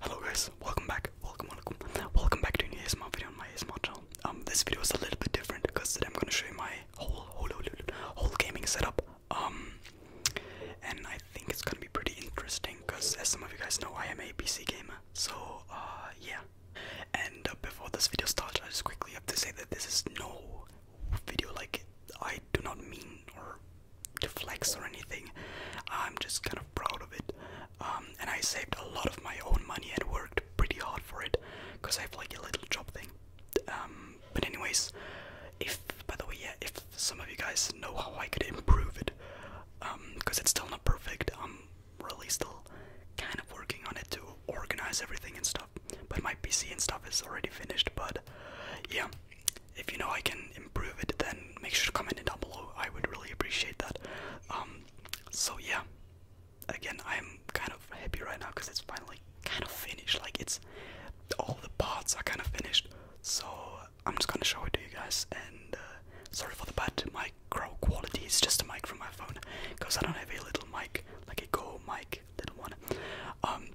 Hello guys, welcome back, welcome, welcome, welcome back to an ASMR video on my ASMR channel. Um, this video is a little bit different because today I'm gonna show you my whole, whole, whole, whole gaming setup. Um, and I think it's gonna be pretty interesting because, as some of you guys know, I am a PC gamer. So, uh, yeah. And uh, before this video starts, I just quickly have to say that this is no video like I do not mean or to flex or anything. I'm just kind of proud of it. Um, and I saved a lot of my own money and worked pretty hard for it because I have like a little job thing. Um, but, anyways, if by the way, yeah, if some of you guys know how I could improve it, because um, it's still not perfect, I'm really still kind of working on it to organize everything and stuff. But my PC and stuff is already finished, but yeah, if you know I can improve it, then make sure to comment it down below. I would really appreciate that. Um, so yeah, again, I'm kind of happy right now because it's finally kind of finished. Like it's all the parts are kind of finished. So I'm just gonna show it to you guys. And uh, sorry for the bad micro quality. It's just a mic from my phone because I don't have a little mic like a Go mic little one. Um,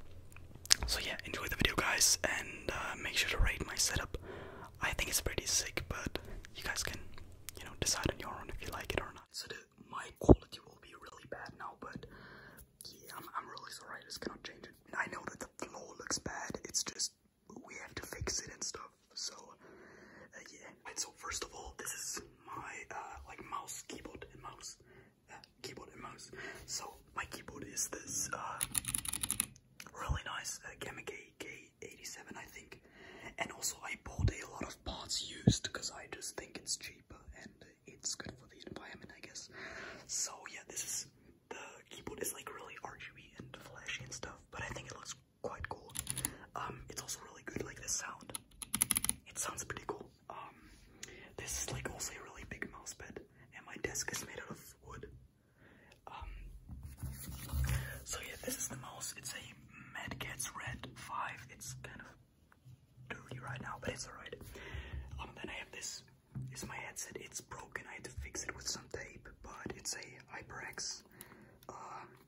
so yeah, enjoy the video, guys, and uh, make sure to rate my setup. I think it's pretty sick, but you guys can, you know, decide on your own if you like it or not. So my quality will be really bad now, but yeah, I'm, I'm really sorry. I just cannot change I know that the floor looks bad. It's just we have to fix it and stuff. So uh, yeah. And so first of all, this is my uh, like mouse, keyboard, and mouse keyboard and mouse. So my keyboard is this uh, really nice uh, Gamma K87, I think. And also I bought a lot of parts used because I just think it's cheaper and it's good for the environment, I guess. So yeah, this is the keyboard is like really RGB and flashy and stuff, but I think it looks quite cool. Um, it's also really good, like the sound. It sounds pretty cool. Um, this is like also a really big mouse pad, and my desk is made out of wood. Um, so yeah, this is the mouse. It's a Mad Catz Red 5. It's kind of dirty right now, but it's alright. Um, then I have this. Is my headset? It's broken. I had to fix it with some tape, but it's a HyperX uh,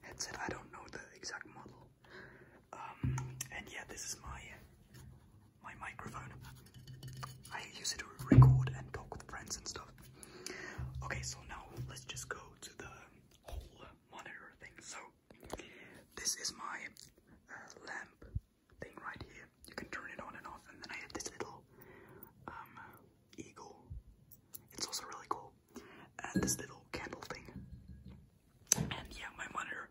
headset. I don't know the exact model. Um, and yeah, this is my my microphone. I use it to record and talk with friends and stuff. Okay, so now let's just go to the whole monitor thing. So this is my uh, lamp thing right here. You can turn it on and off, and then I have this little um, eagle. It's also really cool, and this little candle thing. And yeah, my monitor.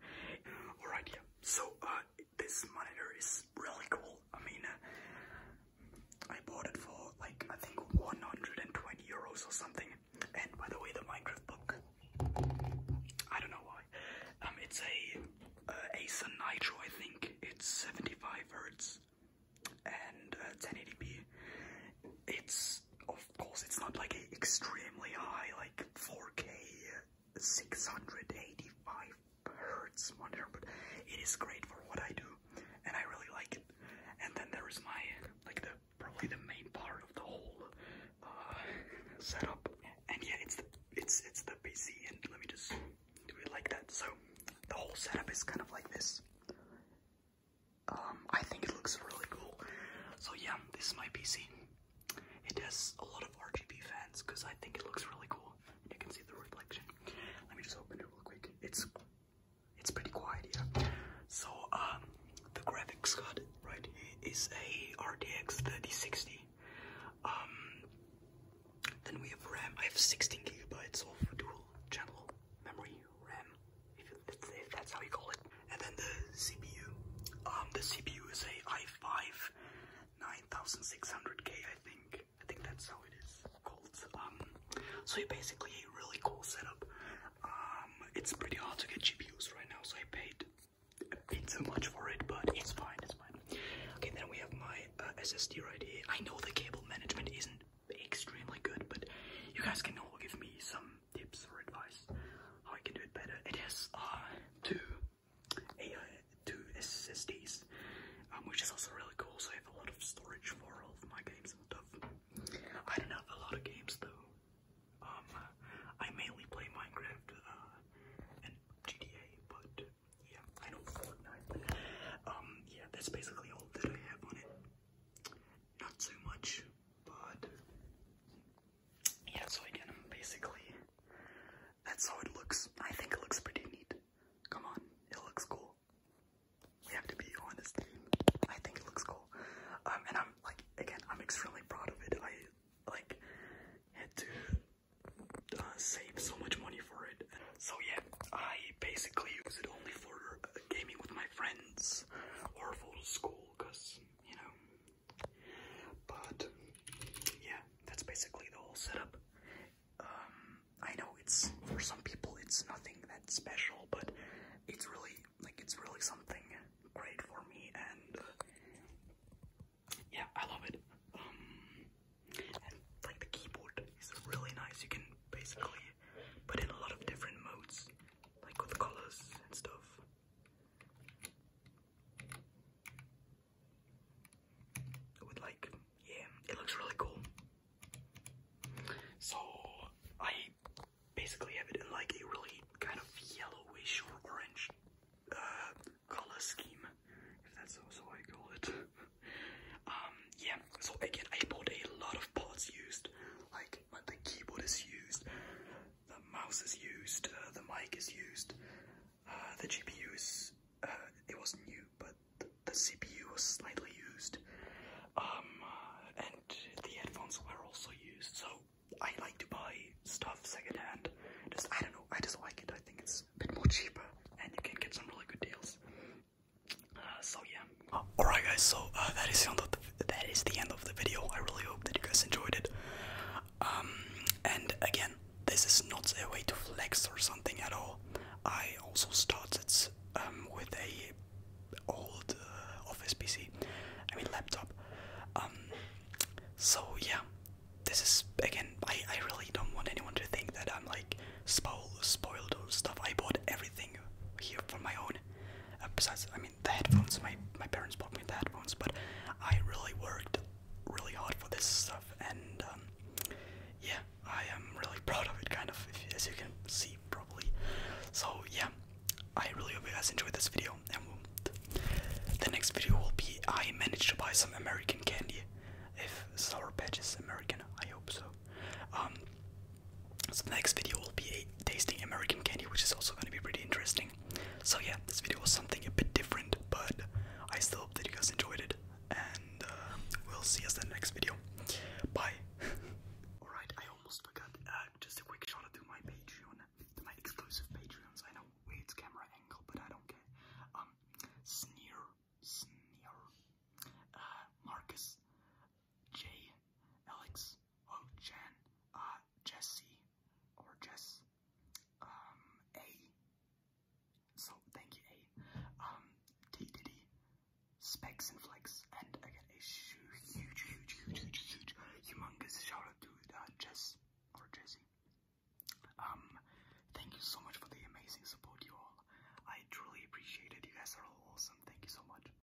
Alright, yeah. So uh, this monitor is really cool. I mean, uh, I bought it for like I think 120 euros or something. And by the way, the Minecraft book, I don't know why. Um, it's a uh, Acer Nitro, I think. It's 75 hertz and 1080p. Uh, it's of course it's not like a extremely high like 4K 685 hertz monitor, but it is great for what I do, and I really like it. And then there is my like the probably the main part of the whole uh, setup. And yeah, it's the it's it's the PC, and let me just do it like that. So the whole setup is kind of like this. Um, I think it looks really cool. So yeah, this is my PC. It has a lot of RGB fans because I think it looks really cool. You can see the reflection. Let me just open it real quick. It's it's pretty quiet, here. So um, the graphics card, right, is a RTX 3060. Um, then we have RAM. I have 16 gigabytes of dual channel memory RAM, if that's how you call it and then the CPU. Um, the CPU is a i5 9600K, I think. I think that's how it is called. Um, so yeah, basically a really cool setup. Um, it's pretty hard to get GPUs right now, so I paid I paid so much for it, but it's fine. It's fine. Okay, then we have my uh, SSD right here. I know the cable management isn't extremely good, but you guys can all give me some tips or advice how I can do it better. It has uh, two AI, two SSDs, um, which is also really cool. So I have a lot of storage for all of my games and stuff. I don't have a lot of games though. Um, I mainly play Minecraft uh, and GTA, but yeah, I know Fortnite. Um, yeah, that's basically all that I have on it. Not so much, but yeah, so again, basically, that's how it looks. I think it looks pretty neat. Come on, it looks cool. We have to be honest. I think it looks cool. Um, and I'm like, again, I'm extremely proud of it. I like had to uh, save so much money for it. So yeah, I basically use it only for gaming with my friends or for school, cause you know but yeah, that's basically the whole setup. Um, I know it's for some people it's nothing that special, but it's really like it's really something great for me, and uh, yeah, I love it. Um, and like the keyboard is really nice. You can basically put in a lot of different modes, like with colors and stuff. With like, yeah, it looks really cool. So I basically have it in like a really kind of yellowish or orange uh, color scheme, if that's also how I call it. um, yeah. So again, I bought a lot of pots used, like the keyboard is used, the mouse is used, uh, the mic is used, uh, the GPU is, uh, it was new, but the, CPU was slightly used, um, and the headphones were also used, so I like to buy stuff secondhand, just, I don't know, I just like it, I think it's a bit more cheaper, and you can get some really good deals. so yeah. Oh, alright guys, so that is the end of the that is the end of the video. I really hope that you guys enjoyed it. Um, and again, this is not a way to flex or something at all. I also started um, with a old uh, office PC, I mean laptop. Um, so yeah, this is again. I I really don't want anyone to think that I'm like spoiled, spoiled or stuff. I bought everything here for my own. Uh, besides, I mean the headphones, my, my parents bought me the headphones, but I really worked really hard for this stuff, and um, yeah, I am really proud of it, kind of, as you can see, probably. So, yeah, I really hope you guys enjoyed this video, and the next video will be I managed to buy some American candy, if Sour Patch is American, I hope so. Um, so the next video will be a tasting American candy, which is also going to be pretty interesting. So yeah, this video was something a bit different, but I still hope that you guys enjoyed it, and uh, we'll see us in the next video. Bye. Alright, I almost forgot. Uh, just a quick shout out to my Patreon, to my exclusive Patreons. I know it's camera angle, but I don't care. Um, Sneer, Sneer, uh, Marcus, J, Alex, oh, Jen, uh, Jesse, or Jess, um, A, so thank you, A, um, T Diddy, Specs and Flex, and again, a huge, huge, huge, huge, huge, huge, humongous shout out to uh, Jess, or Jesse. Um, thank you so much for the amazing support, you all. I truly appreciate it. You guys are all awesome. Thank you so much.